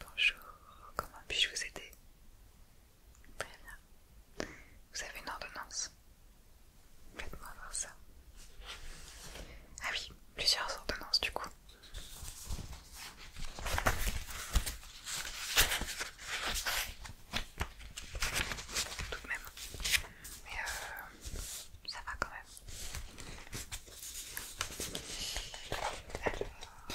Bonjour, comment puis-je vous aider Très bien. Vous avez une ordonnance Faites-moi voir ça. Ah oui, plusieurs ordonnances du coup. Tout de même. Mais euh, ça va quand même.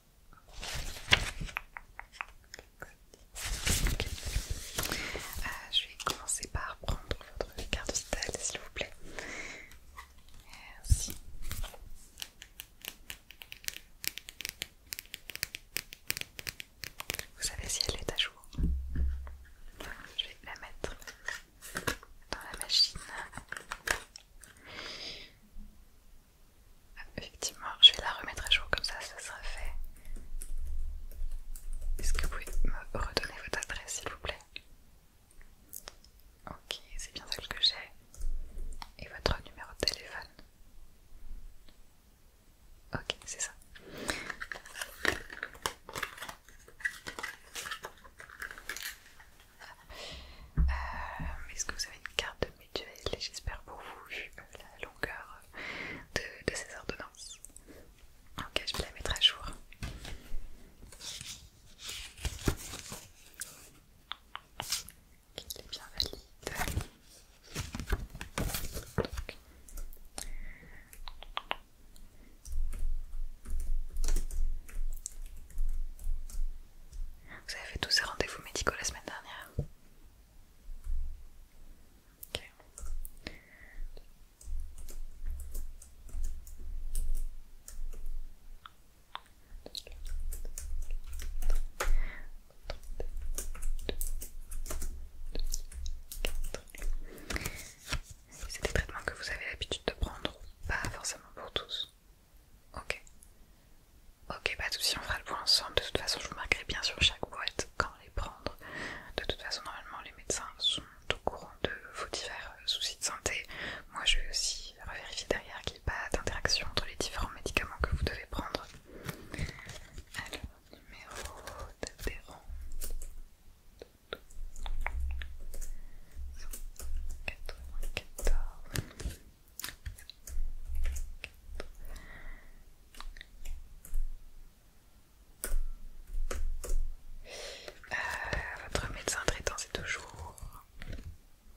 Euh, je vais commencer par prendre votre carte style, s'il vous plaît. Merci. Vous savez si elle est à jour Je vais la mettre dans la machine. Effectivement, je vais la remettre à jour comme ça, ça sera fait. Est-ce que vous pouvez me redonner votre adresse s'il vous plaît Ok, c'est bien celle que j'ai. Et votre numéro de téléphone Ok, c'est ça. Euh, est-ce que vous avez une carte de j'espère pour vous, vu euh, la longueur euh, de, ces ordonnances. Ok, je vais la mettre à jour. elle est bien valide. Vous avez fait tous ces rendez-vous médicaux la semaine dernière c'est des traitements que vous avez l'habitude de prendre, pas forcément pour tous. Ok. Ok, pas de soucis, on fera le point ensemble. De toute façon, je vous marquerai bien sur chaque boîte quand les prendre. De toute façon, normalement, les médecins sont au courant de vos divers soucis de santé. Moi, je vais aussi vérifier derrière qu'il n'y ait pas d'interaction entre les différents médicaments que vous devez prendre. Alors, numéro d'adhérent. Euh, votre médecin traitant c'est toujours...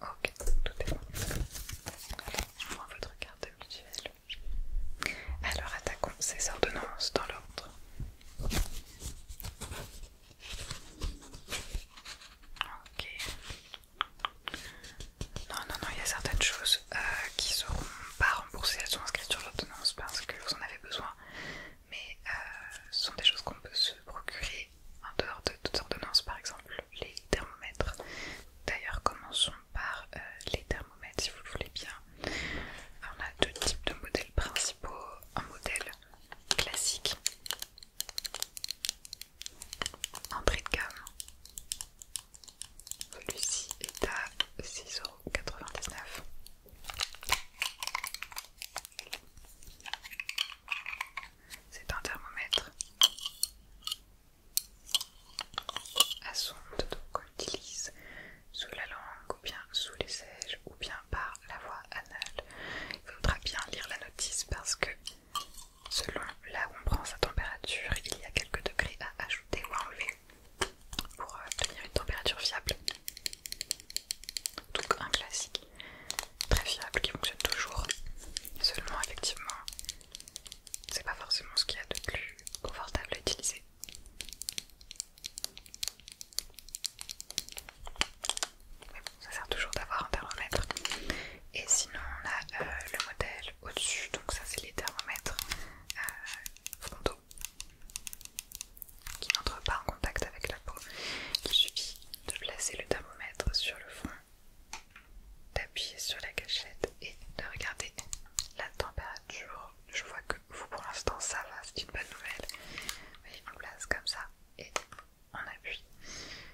Ok, tout est bon. Je prends votre carte mutuelle. Alors attaquons ces ordonnances dans l'ordre. Ok, non, non, non, il y a certaines choses qui euh, qui seront pas remboursées, elles sont inscrites sur l'ordonnance parce que vous en avez besoin, mais euh, ce sont des choses qu'on peut se procurer en dehors de toute ordonnance, par exemple les thermomètres. D'ailleurs, commençons par euh, les thermomètres si vous le voulez bien. on a deux types de modèles principaux, un modèle classique Entrée de gamme, celui-ci est à 6,99€. C'est un thermomètre à sonde qu'on utilise sous la langue ou bien sous les sièges ou bien par la voie anale. Il faudra bien lire la notice parce que Selon là où on prend sa température, il y a quelques degrés à ajouter ou à enlever pour obtenir euh, une température fiable. Donc un classique très fiable qui fonctionne toujours. Seulement effectivement, c'est pas forcément ce qu'il y a de plus confortable à utiliser. Mais bon, ça sert toujours d'avoir un thermomètre et sinon, on a euh, le modèle au-dessus, donc ça c'est les thermomètres euh, frontaux qui n'entrent pas en contact avec la peau. Il suffit de placer le thermomètre sur le front, d'appuyer sur la gâchette et de regarder la température. Je vois que vous pour l'instant ça va, c'est une bonne nouvelle. Vous nous place comme ça et on appuie.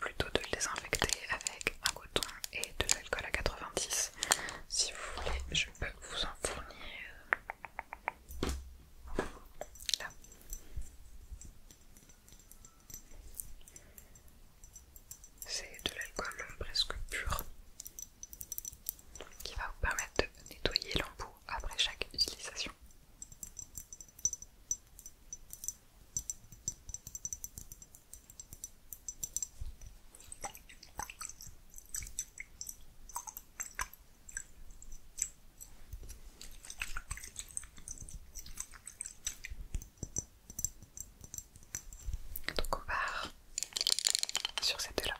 plutôt de le désinfecter avec un coton et de l'alcool à 90. Si vous voulez, je peux vous en fournir là. C'est de l'alcool presque pur qui va vous permettre de nettoyer l'embout après chaque utilisation. Donc on part sur ces deux là.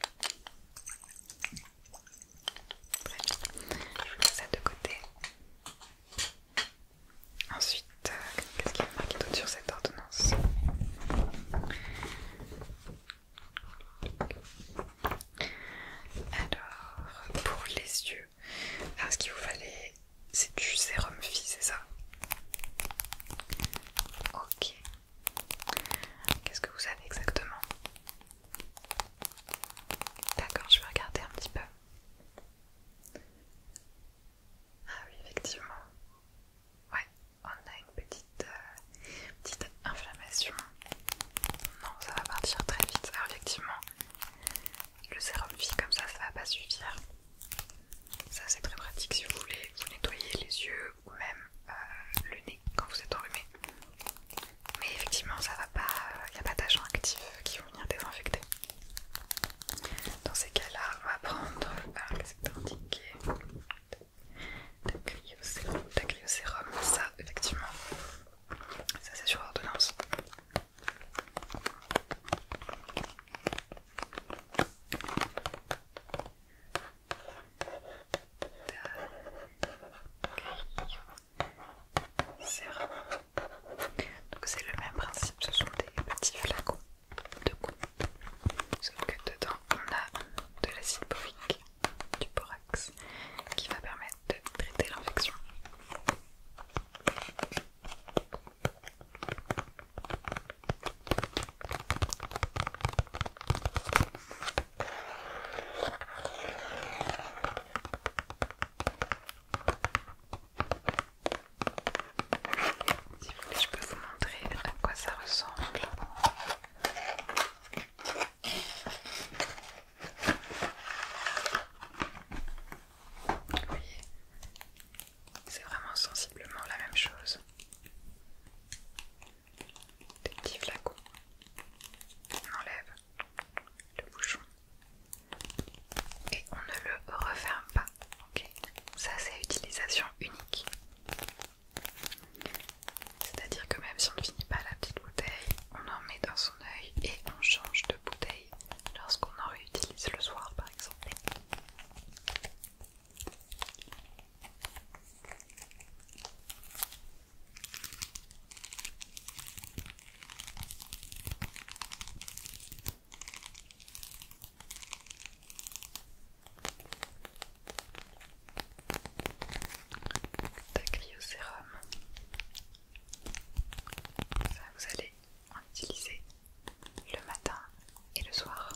Très bien. Je mets ça de côté. Ensuite, euh, qu'est-ce qu'il y a marqué d'autre sur cette ordonnance Alors, pour les yeux, ah, ce qu'il vous fallait, c'est du sérum phi, c'est ça Ok. Qu'est-ce que vous avez exactement D'accord, je vais regarder un petit peu. Ah oui, effectivement. Ouais, on a une petite, euh, petite inflammation. Non, ça va partir très vite. Alors effectivement, le sérum fille comme ça, ça va pas suffire. Ça c'est très pratique si vous voulez vous nettoyer les yeux ou même euh, le nez quand vous êtes enrhumé. Mais effectivement, ça va pas, il euh, n'y a pas d'agents actifs qui vont venir désinfecter. Dans ces cas-là, on va prendre ah, le secteur indiqué Ça, effectivement, ça c'est sur ordonnance. Sérum. Donc c'est le même principe, ce sont des petits flacons de gouttes. Sauf que dedans on a de l'acide borique, du borax, qui va permettre de traiter l'infection. Si vous voulez, je peux vous montrer à quoi ça ressemble. Vous voyez, c'est vraiment sensiblement la même chose. Des petits flacons. enlève le bouchon et on ne le referme pas. ok Ça c'est utilisation unique. C'est-à-dire que même si on ne finit pas la petite bouteille, on en met dans son œil et on change de bouteille lorsqu'on en réutilise le soir par exemple. D'acryosérum. Ça, vous allez en utiliser le matin et le soir.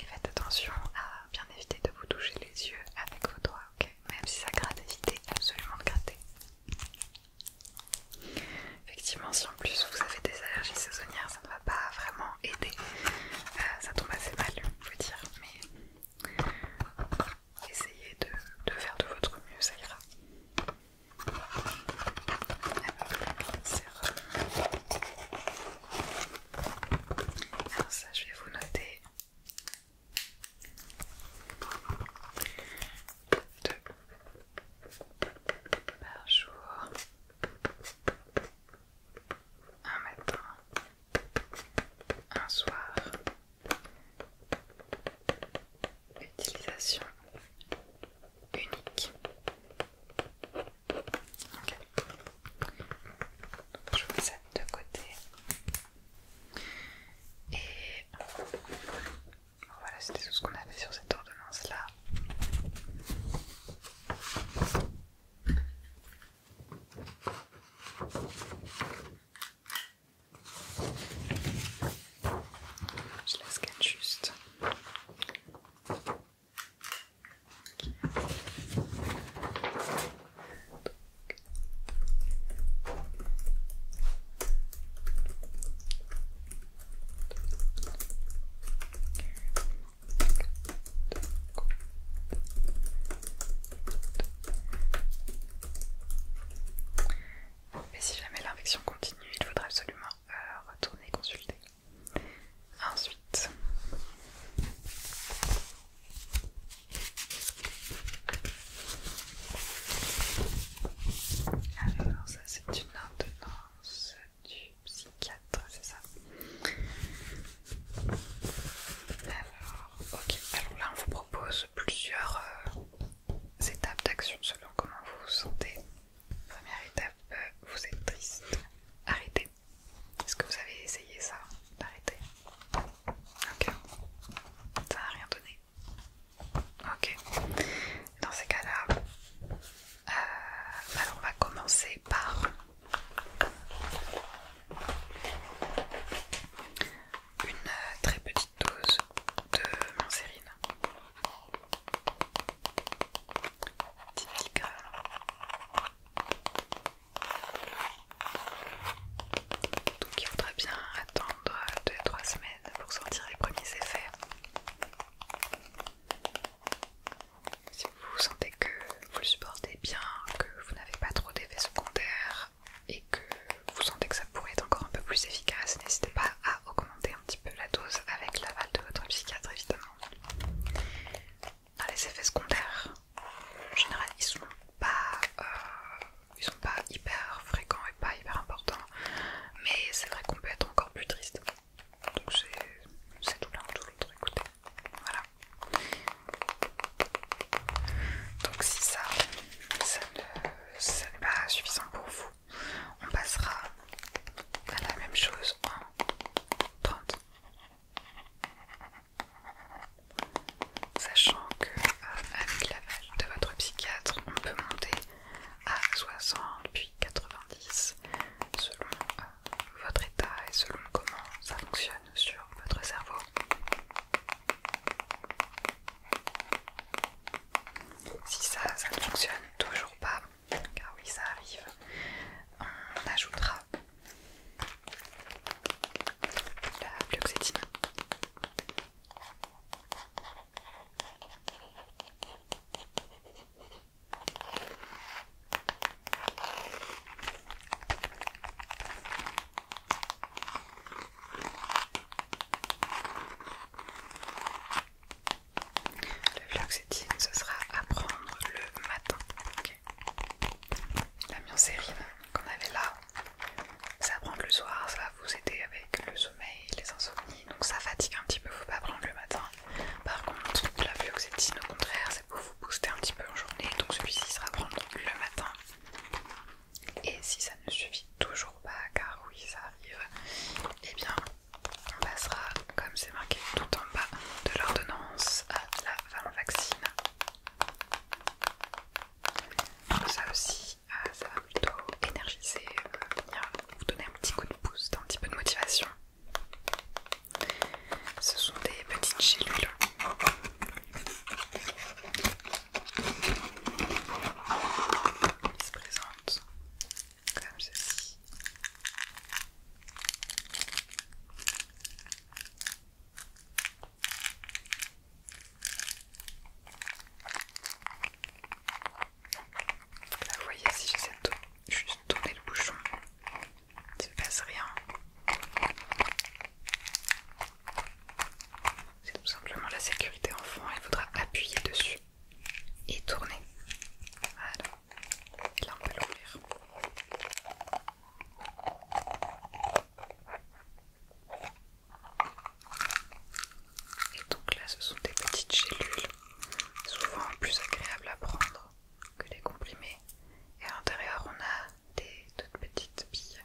Et faites attention à bien éviter de vous toucher les yeux avec vos doigts, ok Même si ça gratte, évitez absolument de gratter. Effectivement, si en plus vous avez des allergies saisonnières, ça ne va pas vraiment aider. Euh, ça tombe assez mal, faut dire, mais essayez de, faire de votre mieux, ça ira. Alors ça, je vais vous noter par jour un matin un soir utilisation unique je mets ça de côté et voilà, c'était tout ce qu'on avait sur cette ordonnance là. Je la scanne juste. Mais si jamais l'infection continue, il faudra absolument euh, retourner consulter. Ensuite, c'est une ordonnance du psychiatre, c'est ça Alors, ok, alors là on vous propose plusieurs euh, étapes d'action selon comment vous vous sentez. Première étape, euh, vous êtes triste, arrêtez. Est-ce que vous avez essayé ça Arrêtez. Ok, ça n'a rien donné. Ok, dans ces cas-là, euh, alors on va commencer par une très petite dose de mancérine. 10 mg. Donc il faudrait bien attendre 2-3 semaines pour sortir les premiers effets. Si vous sentez que vous le supportez bien, que vous n'avez pas trop d'effets secondaires et que vous sentez que ça pourrait être encore un peu plus efficace, n'hésitez pas à augmenter un petit peu la dose avec l'aval de votre psychiatre évidemment. Ah, les effets secondaires, en général, ils sont pas, euh, ils sont pas hyper fréquents pas hyper important, mais c'est vrai qu'on peut être encore plus triste. Donc c'est tout l'un ou tout l'autre, écoutez. Voilà. Donc si ça, ça n'est pas suffisant pour vous, on passera à la même chose en 30. Sachant que à euh, avec l'aide de votre psychiatre, on peut monter à 60 puis 90 selon euh, votre état et selon comment ça fonctionne sur votre cerveau. Si ça, ne fonctionne toujours pas, car oui ça arrive, on ajoutera la le vlog ce sera à prendre le matin. La mioncérine qu'on avait là, ça prend le soir, ça va vous aider avec le, soir les insomnies, donc ça fatigue un petit peu, faut pas prendre le matin. Par contre, la fluoxétine au contraire, c'est pour vous booster un petit peu en journée, donc celui-ci sera prendre le matin. Et si ça ne suffit toujours pas, car oui ça arrive, et eh bien on passera, comme c'est marqué tout en bas de l'ordonnance, à la vaccine Ça aussi, euh, ça va plutôt énergiser, euh, venir vous donner un petit coup de pouce, un petit peu de motivation. Ce sont des petites gélules. Ils se présentent comme ceci. Là, vous voyez, si j'essaie de juste tourner le bouchon, il se passe rien. C'est tout simplement la sécurité enfant, il faudra appuyer dessus et tourner. Voilà. là, on l'ouvrir. Et donc là, ce sont des petites gélules, souvent plus agréables à prendre que les comprimés. Et à l'intérieur, on a des toutes petites billes.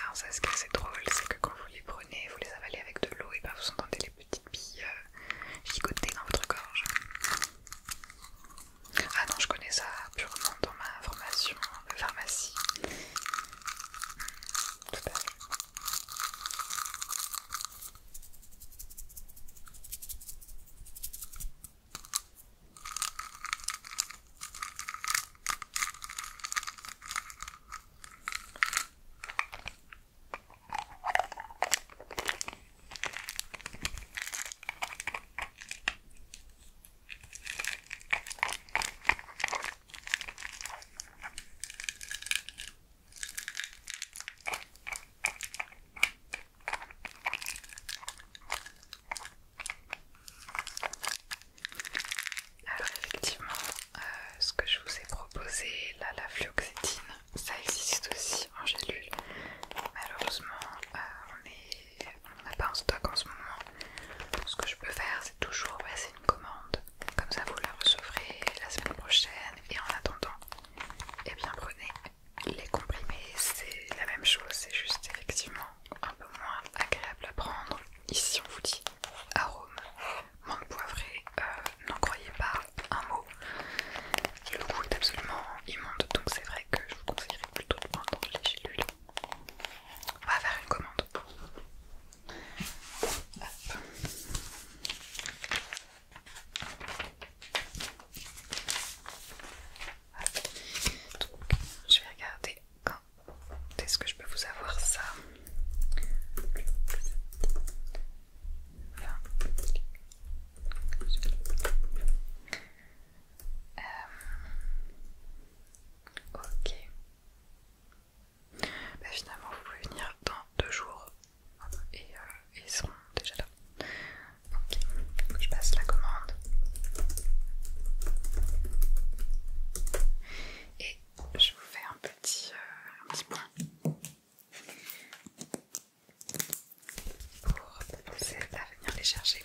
Alors ça, ce qui est assez drôle, c'est que quand vous les prenez, vous les avalez avec de l'eau et ben vous entendez les petites billes euh, gigoter dans votre gorge. Ah non, je connais ça purement dans ma formation de pharmacie. Alors effectivement, euh, ce que je vous ai proposé, la fluoxétine, ça existe aussi en gélule. Malheureusement, euh, on est on n'a pas en stock en ce moment. ce que je peux faire, c'est toujours passer une commande. Comme ça, vous la recevrez la semaine prochaine. Et en attendant, eh bien, prenez les comprimés. C'est la même chose, c'est juste effectivement un peu moins agréable à prendre. Ici, on vous dit arôme, menthe poivrée. Euh, n'en croyez pas un mot. Le goût est absolument immonde, donc c'est vrai que je vous conseillerais plutôt de prendre les gélules on va faire une commande. je vais regarder est-ce que je peux vous avoir ça. Euh, ok. Bah, finalement, vous pouvez venir dans deux jours et euh, ils seront déjà là. Ok, je passe la commande. Et je vous fais un petit, euh, point pour aider à venir les chercher.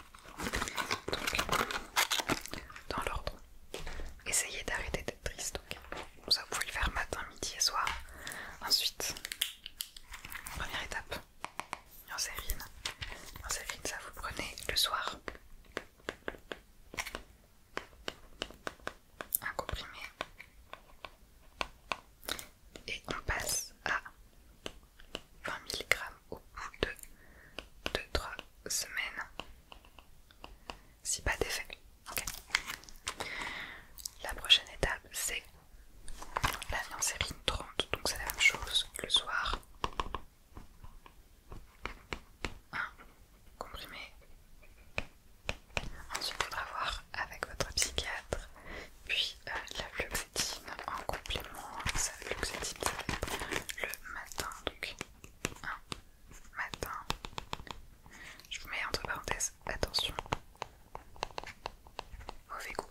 Donc, dans l'ordre, essayez d'arrêter d'être triste. ça vous pouvez le faire matin, midi et soir. Ensuite, première étape, en sérine. ça vous prenez le soir. Un comprimé et on passe à 20 mg au bout de 2-3 semaines si pas d'effet. La prochaine étape c'est la viancérine 30, donc c'est la même chose le soir. Un comprimé. Ensuite, il faudra voir avec votre psychiatre, puis euh, la fluoxétine en complément. Hein, ça, fluoxétine, le matin, donc un matin. Je vous mets entre parenthèses, attention, mauvais goût.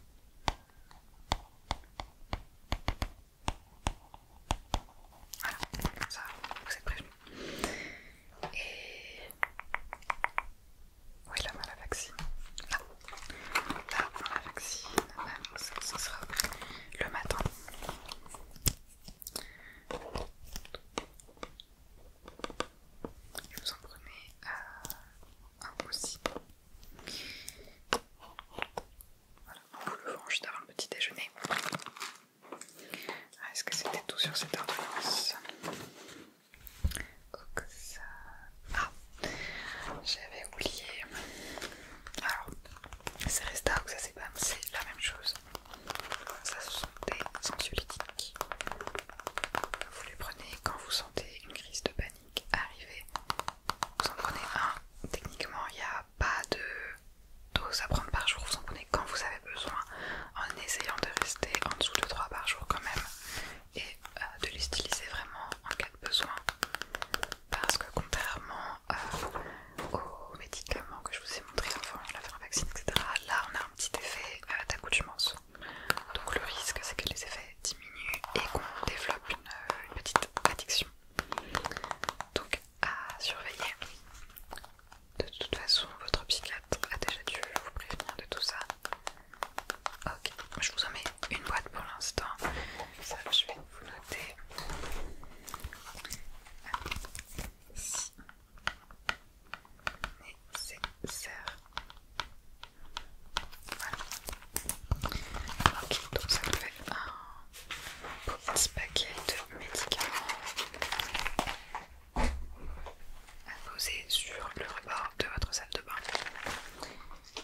Voilà, comme ça, vous êtes prévenus. Et oui, là, on la vaccine. Là, on la vaccine. ça, ça sera le matin. Je vous en prenez euh, un aussi. Voilà, on vous le vend juste avant le petit déjeuner. Ah, est-ce que c'était tout sur cette ordonnance ça... Ah, j'avais oublié... Alors, c'est Resta ça c'est c'est la même chose. Ça ce sont des Vous les prenez quand vous sentez une crise de panique arriver. Vous en prenez un. Techniquement, il n'y a pas de dose à prendre par jour. Vous en prenez quand vous avez besoin en essayant de rester en dessous de 3 par jour quand même et euh, de les styliser vraiment en cas de besoin parce que contrairement euh, aux médicaments que je vous ai montré avant la faire vaccine etc là on a un petit effet d'accouchement d'accoutumance donc le risque c'est que les effets diminuent et qu'on développe euh, une petite addiction donc à surveiller de toute façon votre psychiatre a déjà dû vous prévenir de tout ça Ok, je vous en mets une boîte pour l'instant. Ça, je vais vous noter. Si nécessaire. Voilà. Ok, donc ça me fait un petit paquet de médicaments à poser sur le rebord de votre salle de bain.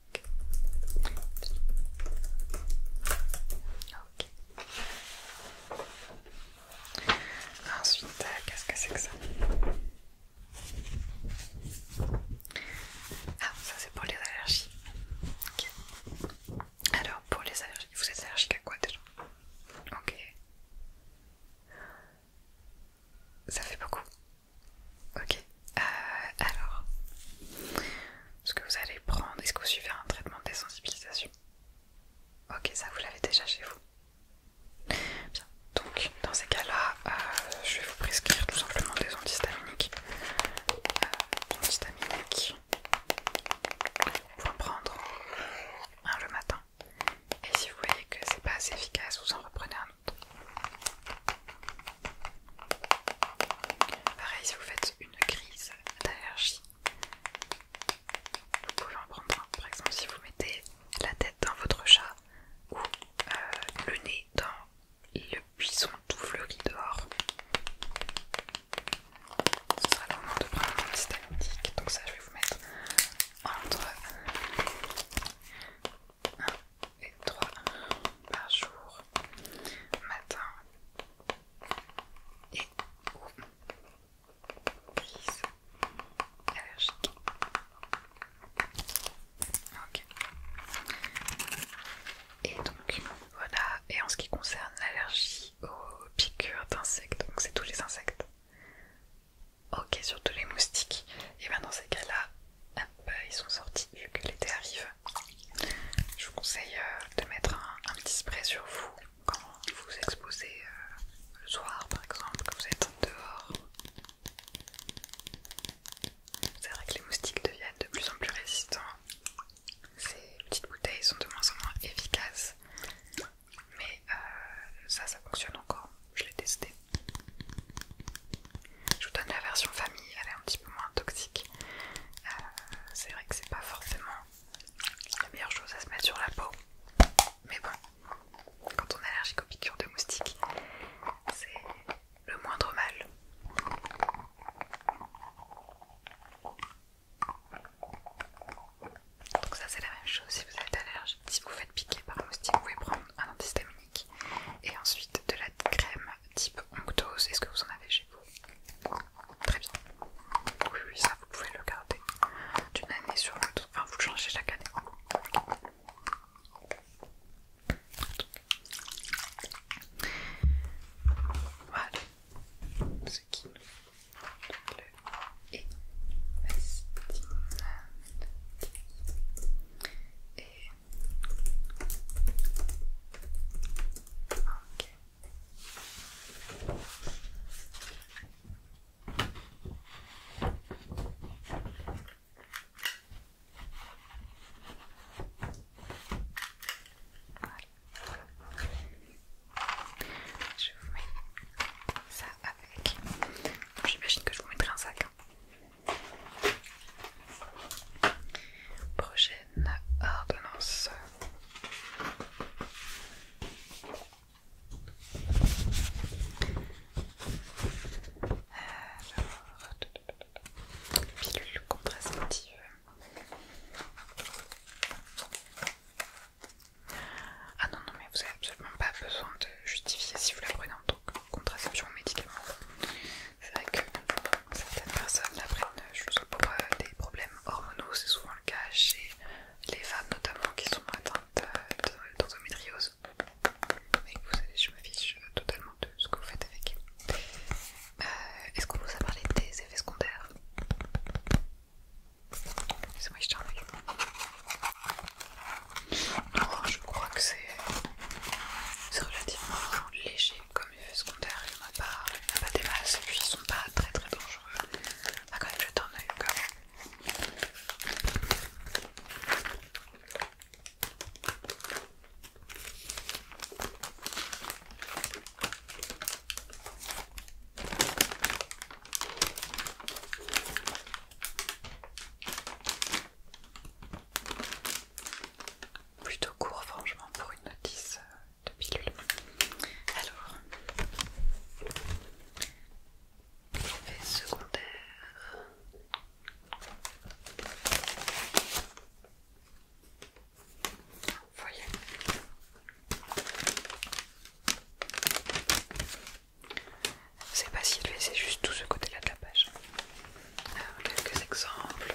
Ok. Ensuite, euh, qu'est-ce que c'est que ça Ah, ça c'est pour les allergies. Ok. Alors, pour les allergies, vous êtes allergique à quoi déjà Ok. Ça fait beaucoup. Ok. Euh, alors, ce que vous allez prendre, est-ce que vous suivez un traitement de désensibilisation Ok, ça vous l'avez déjà chez vous. Bien, donc dans ces cas-là, euh, je vais vous prescrire tout simplement des antihistaminiques. Euh, antihistaminiques. Vous en prendre euh, un le matin. Et si vous voyez que c'est pas assez efficace, vous en reprenez un autre. Pareil, si vous faites une crise d'allergie. Vous pouvez en prendre un, par exemple, si vous mettez la tête dans votre chat ou euh, le nez dans le buisson tout fleuri dehors. Ce sera le moment de prendre système Donc, ça, je vais vous mettre entre 1 et 3 par jour, matin, et allergique. Et donc voilà. Et en ce qui concerne l'allergie aux piqûres d'insectes, donc c'est tous les insectes. Ok, surtout les moustiques. Et bien dans ces cas-là, ils sont sortis vu que l'été arrive je vous conseille euh, de mettre un, petit spray sur vous quand vous vous exposez euh, le soir par exemple, quand vous êtes dehors. C'est vrai que les moustiques deviennent de plus en plus résistants. Ces petites bouteilles sont de moins en moins efficaces. Mais euh, ça, ça fonctionne encore. Je l'ai testé. Je vous donne la version famille. Elle est un petit moins toxique. Euh, c'est vrai que c'est pas forcément la meilleure chose à se mettre sur la peau, mais bon, quand on est allergique aux piqûres de moustiques, c'est le moindre mal. Donc ça c'est la même chose si vous êtes allergique. Si vous faites piquer par un moustique, vous pouvez prendre un antihistaminique et ensuite de la crème type onctose. Est-ce que vous en avez chez vous Très bien. Oui, oui, ça vous pouvez le garder d'une année sur l'autre. Enfin, vous le changez chaque année. Voilà. Ce qui le Et je vous mets ça avec. J'imagine que je vous mettrai un sac. Hein. Prochaine ordonnance. Alors, pilule contraceptive. Ah non, non, mais vous n'avez absolument pas besoin de justifier si vous la prenez en tant que contraception ou médicament. C'est vrai que certaines personnes, la pour euh, des problèmes hormonaux, c'est souvent le cas chez les femmes notamment qui sont atteintes euh, d'endométriose. Mais vous savez, je m'affiche euh, totalement de ce que vous faites avec. Est-ce qu'on vous a parlé des effets secondaires C'est moi qui je crois que c'est relativement léger. Comme comme effet secondaire il n'y en, en a pas des masses et puis ils sont pas très très dangereux ah quand même je t'en ai quand même plutôt court franchement pour une notice euh, de pilule. Alors, effets secondaire Voyez. C'est pas si c'est juste tout ce côté-là de la page. Alors, quelques exemples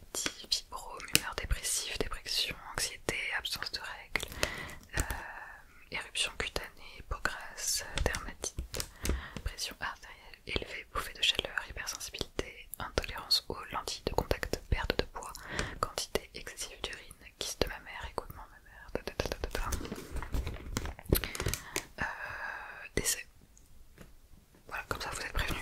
anxiety, humeur dépressif, dépression, anxiété, absence de règles, euh, éruption cutanée, peau grasse, dermatite, pression artérielle élevée, bouffée de chaleur, hypersensibilité, intolérance aux lentilles de contact, perte de poids, quantité excessive d'urine, kyste de ma écoulement mammaire, ma mère, euh, décès. Voilà, comme ça vous êtes prévenus.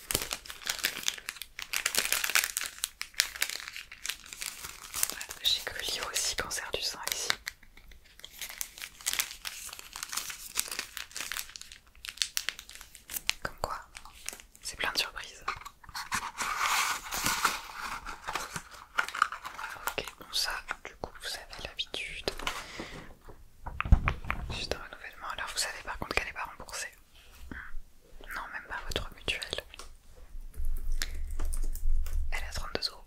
J'ai que lié aussi cancer du sein ici. Comme quoi, c'est plein de surprises. Ok, bon ça, du coup vous avez l'habitude. Juste un renouvellement. Alors vous savez par contre qu'elle n'est pas remboursée. Hmm. Non, même pas votre mutuelle. Elle est 32 euros.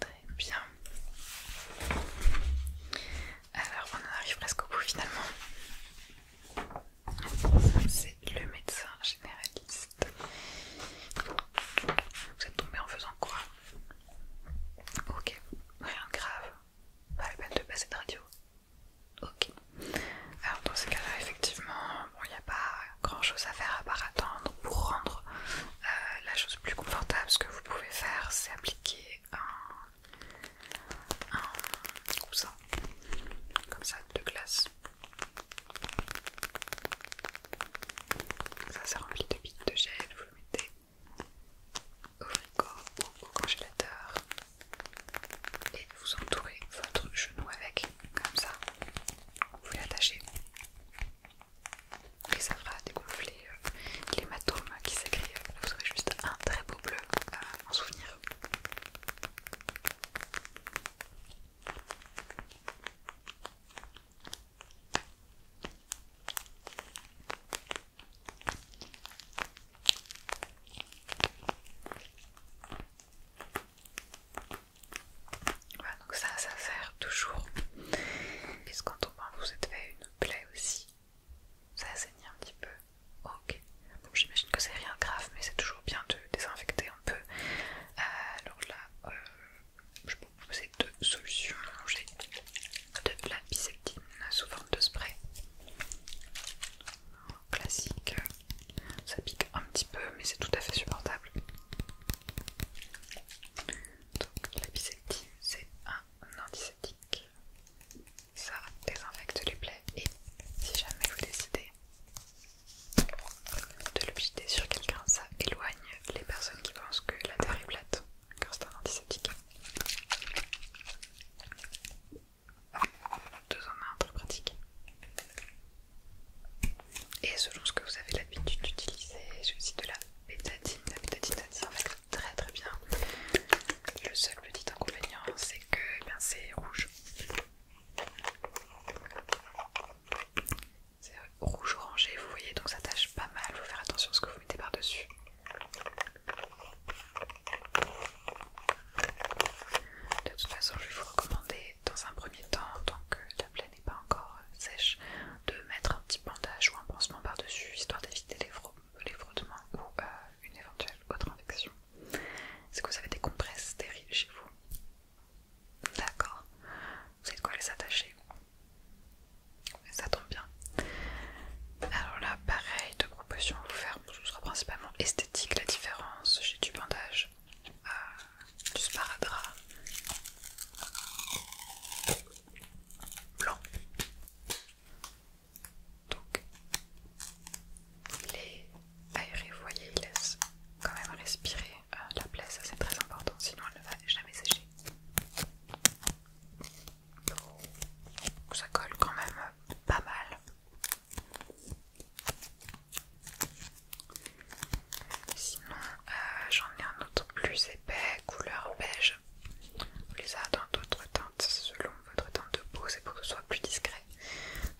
Très bien. Alors on en arrive presque au bout finalement. C'est le médecin généraliste. Vous êtes tombé en faisant quoi Ok, rien de grave. Pas la peine de passer de radio. Ok. Alors dans ces cas-là, effectivement, il n'y a pas grand-chose à faire à part attendre pour rendre euh, la chose plus confortable, parce que vous pouvez faire, c'est appliquer un, coussin, comme ça, de glace. Ça, c'est rempli de billes de gel, vous le mettez au frigo ou au congélateur et vous entourez votre genou avec, comme ça, vous l'attachez et ça fera dégonfler les euh, l'hématome qui s'écrit. Vous aurez juste un très beau bleu euh, en souvenir. Voilà, donc ça, ça sert toujours. quest quand on vous êtes fait une me aussi. Ça saigne un petit peu. Ok. j'imagine que c'est rien grave, mais c'est toujours bien de désinfecter un peu. Euh, alors là, euh, je vais vous proposer deux solutions. J'ai de la biseptine sous forme de spray. Classique. Ça pique un petit peu, mais c'est tout à fait supportable. Donc la c'est un un antiseptique. Ça désinfecte les plaies et si jamais vous décidez de l'objeter sur quelqu'un, ça éloigne les personnes qui pensent que la terre est plate car c'est un antiseptique. Deux en un, très pratique. Et selon ce que vous avez l'habitude d'utiliser, celui-ci de la en fait très très bien. Le seul petit inconvénient c'est que eh c'est rouge. C'est rouge orangé, vous voyez, donc ça tâche pas mal, faut faire attention à ce que vous mettez par-dessus. De toute façon, je vais vous recommander dans un premier temps, tant que la plaine n'est pas encore sèche, de mettre un petit bandage ou un pansement par-dessus, histoire d'éviter les frottements ou euh, une éventuelle autre infection. Est-ce que vous avez des compresses stériles chez vous D'accord. Vous savez de quoi les attacher Ça tombe bien. Alors là, pareil, deux propositions à vous faire. Ce sera principalement esthétique la différence. J'ai du bandage, euh, du sparadrap blanc. Donc, il est aéré, vous voyez, il laisse quand même respirer euh, la plaie, ça c'est très important, sinon elle ne va jamais sécher. Donc Ça colle quand même pas mal. Sinon, euh, j'en ai un autre plus épais, couleur beige. Vous les avez dans d'autres teintes selon votre teinte de peau, c'est pour que ce soit plus discret.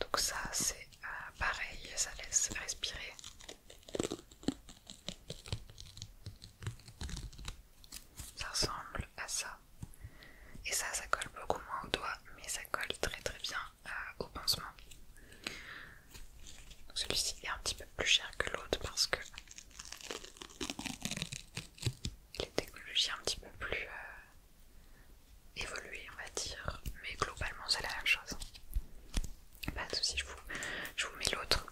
Donc ça c'est euh, pareil, ça laisse respirer. Ça ressemble à ça. Et ça, ça colle beaucoup moins au doigt, mais ça colle très très bien euh, au pansement. Celui-ci est un petit peu plus cher que l'autre parce que les technologies un petit peu plus euh, évoluées, on va dire, mais globalement c'est la même chose. Pas de souci, je vous, mets l'autre.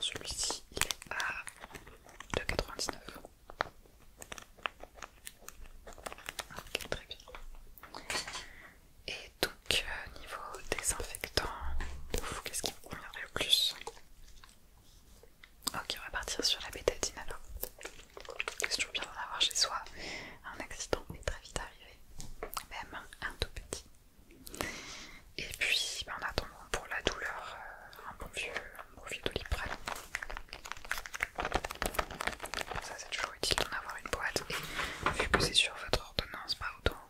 Celui-ci il est à 2,99. Ok, très bien. Et donc, euh, niveau désinfectant, qu'est-ce qu'il on eu plus. Ok, on va partir sur la bétadine alors. C'est toujours bien d'en avoir chez soi. Un accident est très vite arrivé, même un tout petit. Et puis, ben, en attendant pour la douleur, euh, un bon vieux, bon vieux Ça, c'est toujours utile d'en avoir une boîte. Et vu que c'est sur votre ordonnance, pas autant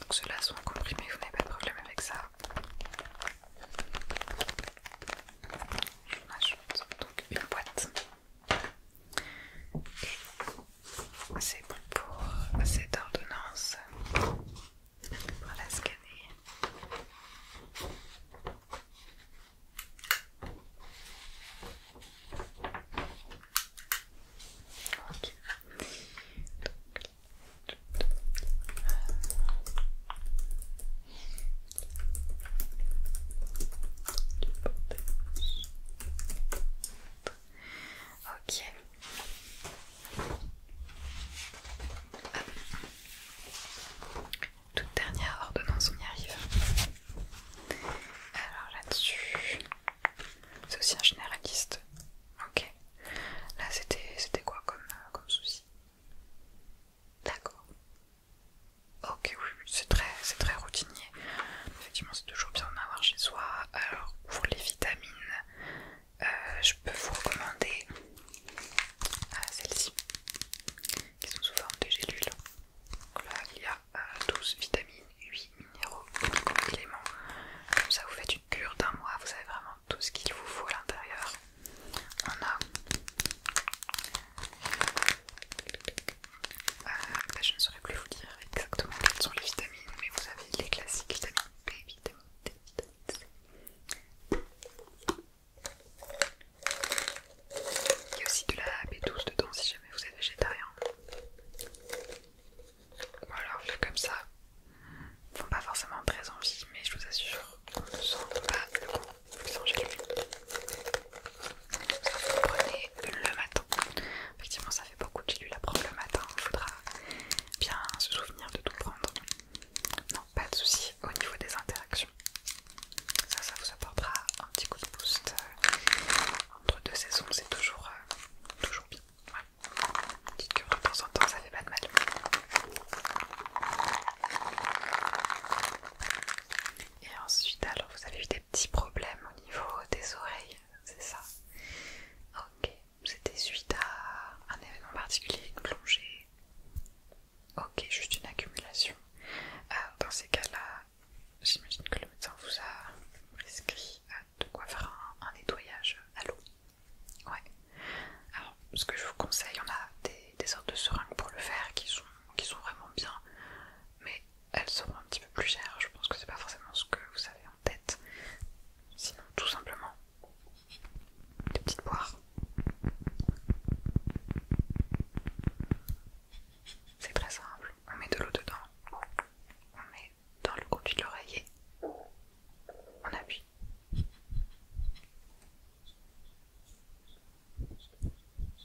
Donc ceux-là sont comprimés, vous n'avez pas de problème avec ça. vous ajoute donc une boîte. c'est bon pour cette ordonnance. On va la scanner. Ok. Ok. Toute dernière ordonnance, on y arrive. Alors là-dessus, c'est aussi un généraliste. Ok. Là, c'était quoi comme, euh, comme souci D'accord. Ok, oui, c'est très, très routinier. Effectivement, c'est toujours bien d'en avoir chez soi. Alors, pour les vitamines, euh, je peux vous recommander euh, celle ci qui sont sous forme de gélules. Donc là, il y a 12 vitamines, 8 minéraux, compléments. Comme ça, vous faites une cure d'un mois, vous avez vraiment tout ce qu'il vous faut à l'intérieur. On euh, a... Bah, je ne saurais plus vous dire exactement quelles sont les vitamines, mais vous avez les classiques vitamines B, D, Il y a aussi de la B12 dedans si jamais vous êtes végétarien alors, vu comme ça, font pas forcément très envie, mais je vous assure, on ne sent pas le goût. Vous vous prenez le matin. Effectivement, ça fait beaucoup de lui la prendre le matin. Il faudra bien se souvenir de tout prendre. Non, pas de souci au niveau des interactions. Ça, ça vous apportera un petit coup de boost. Euh, entre deux saisons, c'est toujours, euh, toujours bien dites que de temps en temps, ça fait pas de mal. Et ensuite, alors vous avez eu des petits problèmes au niveau des oreilles, c'est ça Ok, c'était suite à un événement particulier, une plongée. Ok, juste une accumulation. Euh, dans ces cas-là, j'imagine que le médecin vous a prescrit euh, de quoi faire un, nettoyage à l'eau. Ouais. Alors, ce que je vous conseille, on a des, sortes de seringues pour le faire qui sont, vraiment bien, mais elles seront un petit peu plus chères. Je pense que c'est pas forcément ce que vous avez en tête. Sinon, tout simplement, des petites boires. C'est très simple. On met de l'eau dedans, dans le conduit de l'oreiller. On appuie.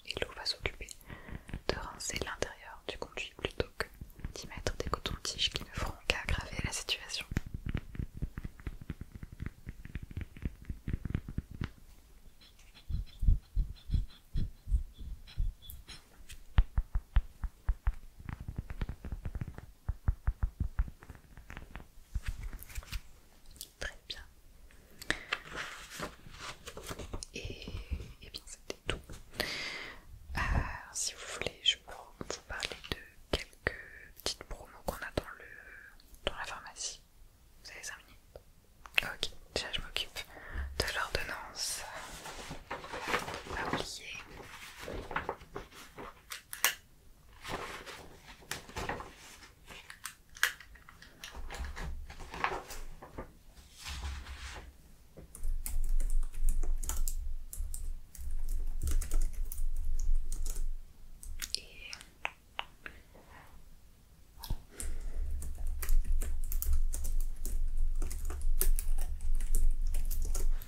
Et l'eau va s'occuper de rincer l'intérieur du conduit plutôt que d'y mettre des cotons-tiges qui ne feront qu'aggraver la situation. Très bien. Et, eh bien c'était tout. Euh, si vous voulez, je peux vous parler de quelques petites promos qu'on a dans, le, dans la pharmacie. Vous avez 5 minutes Ok, déjà je m'occupe de l'ordonnance. Pas oublier. Et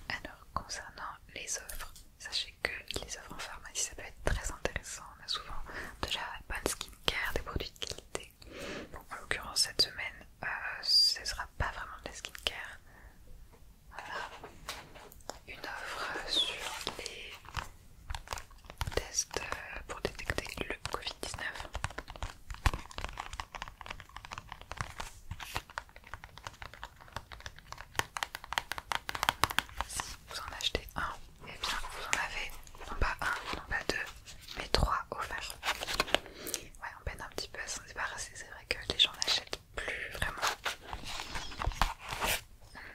Alors concernant les offres. Sachez que les offres en pharmacie, ça peut être très intéressant. On a souvent de la bonne skincare, des produits de qualité. Bon, en l'occurrence, cette semaine, euh, ce ne sera pas vraiment de la skincare. Voilà. Une offre sur les tests euh, pour détecter le Covid-19. Si vous en achetez un, et eh bien vous en avez non pas un, non pas deux, mais trois offerts. Ouais, on peine un petit peu à s'en débarrasser, c'est vrai que les gens n'achètent plus vraiment.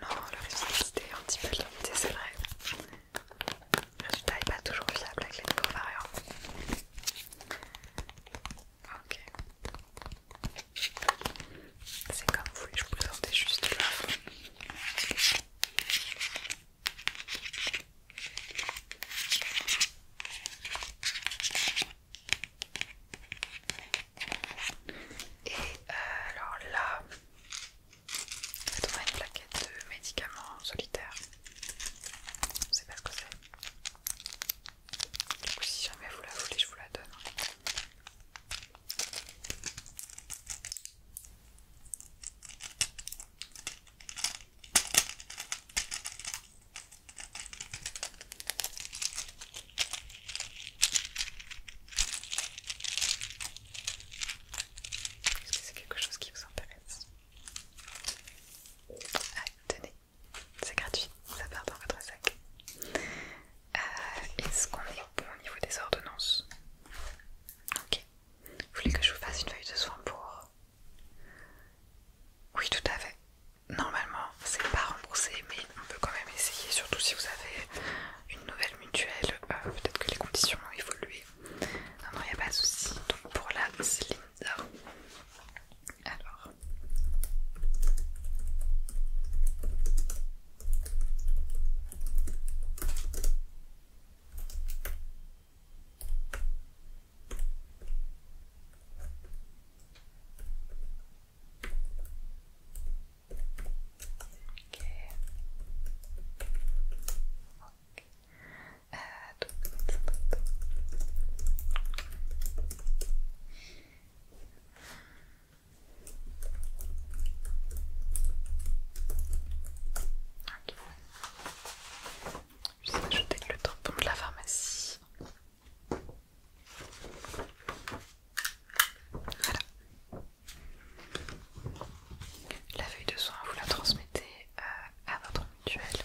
Non, le résultat est un petit peu limité, c'est vrai. Le résultat n'est pas toujours fiable avec les nouveaux variants. Ok. C'est comme vous je vous présentais juste là. Et euh, alors là, on a une plaquette de médicaments solitaires. On sait pas ce que c'est. Du coup, si jamais vous la voulez, je vous la donne. Est-ce que c'est quelque chose qui vous intéresse Allez, ah, tenez c'est gratuit, ça part dans votre sac. Euh, est-ce qu'on est bon au niveau des ordonnances Ok. Vous voulez que je vous fasse une feuille de soins pour Oui, tout à fait. Normalement, c'est pas remboursé, mais on peut quand même essayer, surtout si vous avez une nouvelle mutuelle. Euh, peut-être que les conditions ont évolué. Non, non, il a pas de souci. Donc pour la alors. Euh, Ok. Je vais ajouter le tampon de la pharmacie. Voilà. La feuille de soin, vous la transmettez euh, à votre mutuelle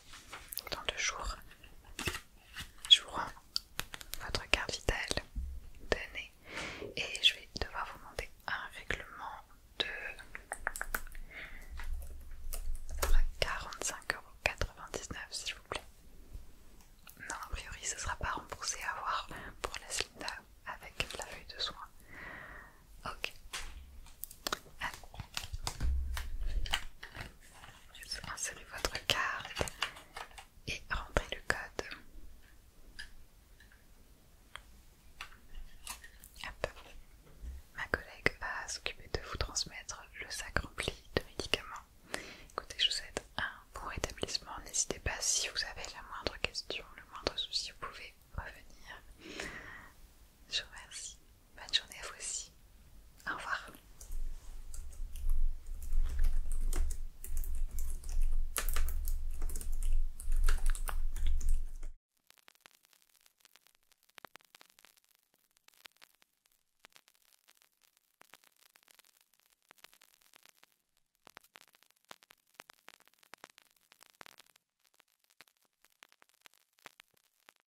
dans deux jours. vous rends votre carte vitale donnée. Et je vais devoir vous demander un règlement de 45,99€ s'il vous plaît. Non, a priori ce sera pas remboursé à voir pour la Slinda avec la feuille de soin. Ok. Ah insérez votre carte et rentrez le code. Ma collègue va s'occuper de vous transmettre le sac rempli de médicaments. Écoutez, je vous souhaite un bon rétablissement. N'hésitez pas si vous avez la moindre question, le moindre souci, vous pouvez revenir. Je vous remercie. Bonne journée à vous aussi. Au revoir.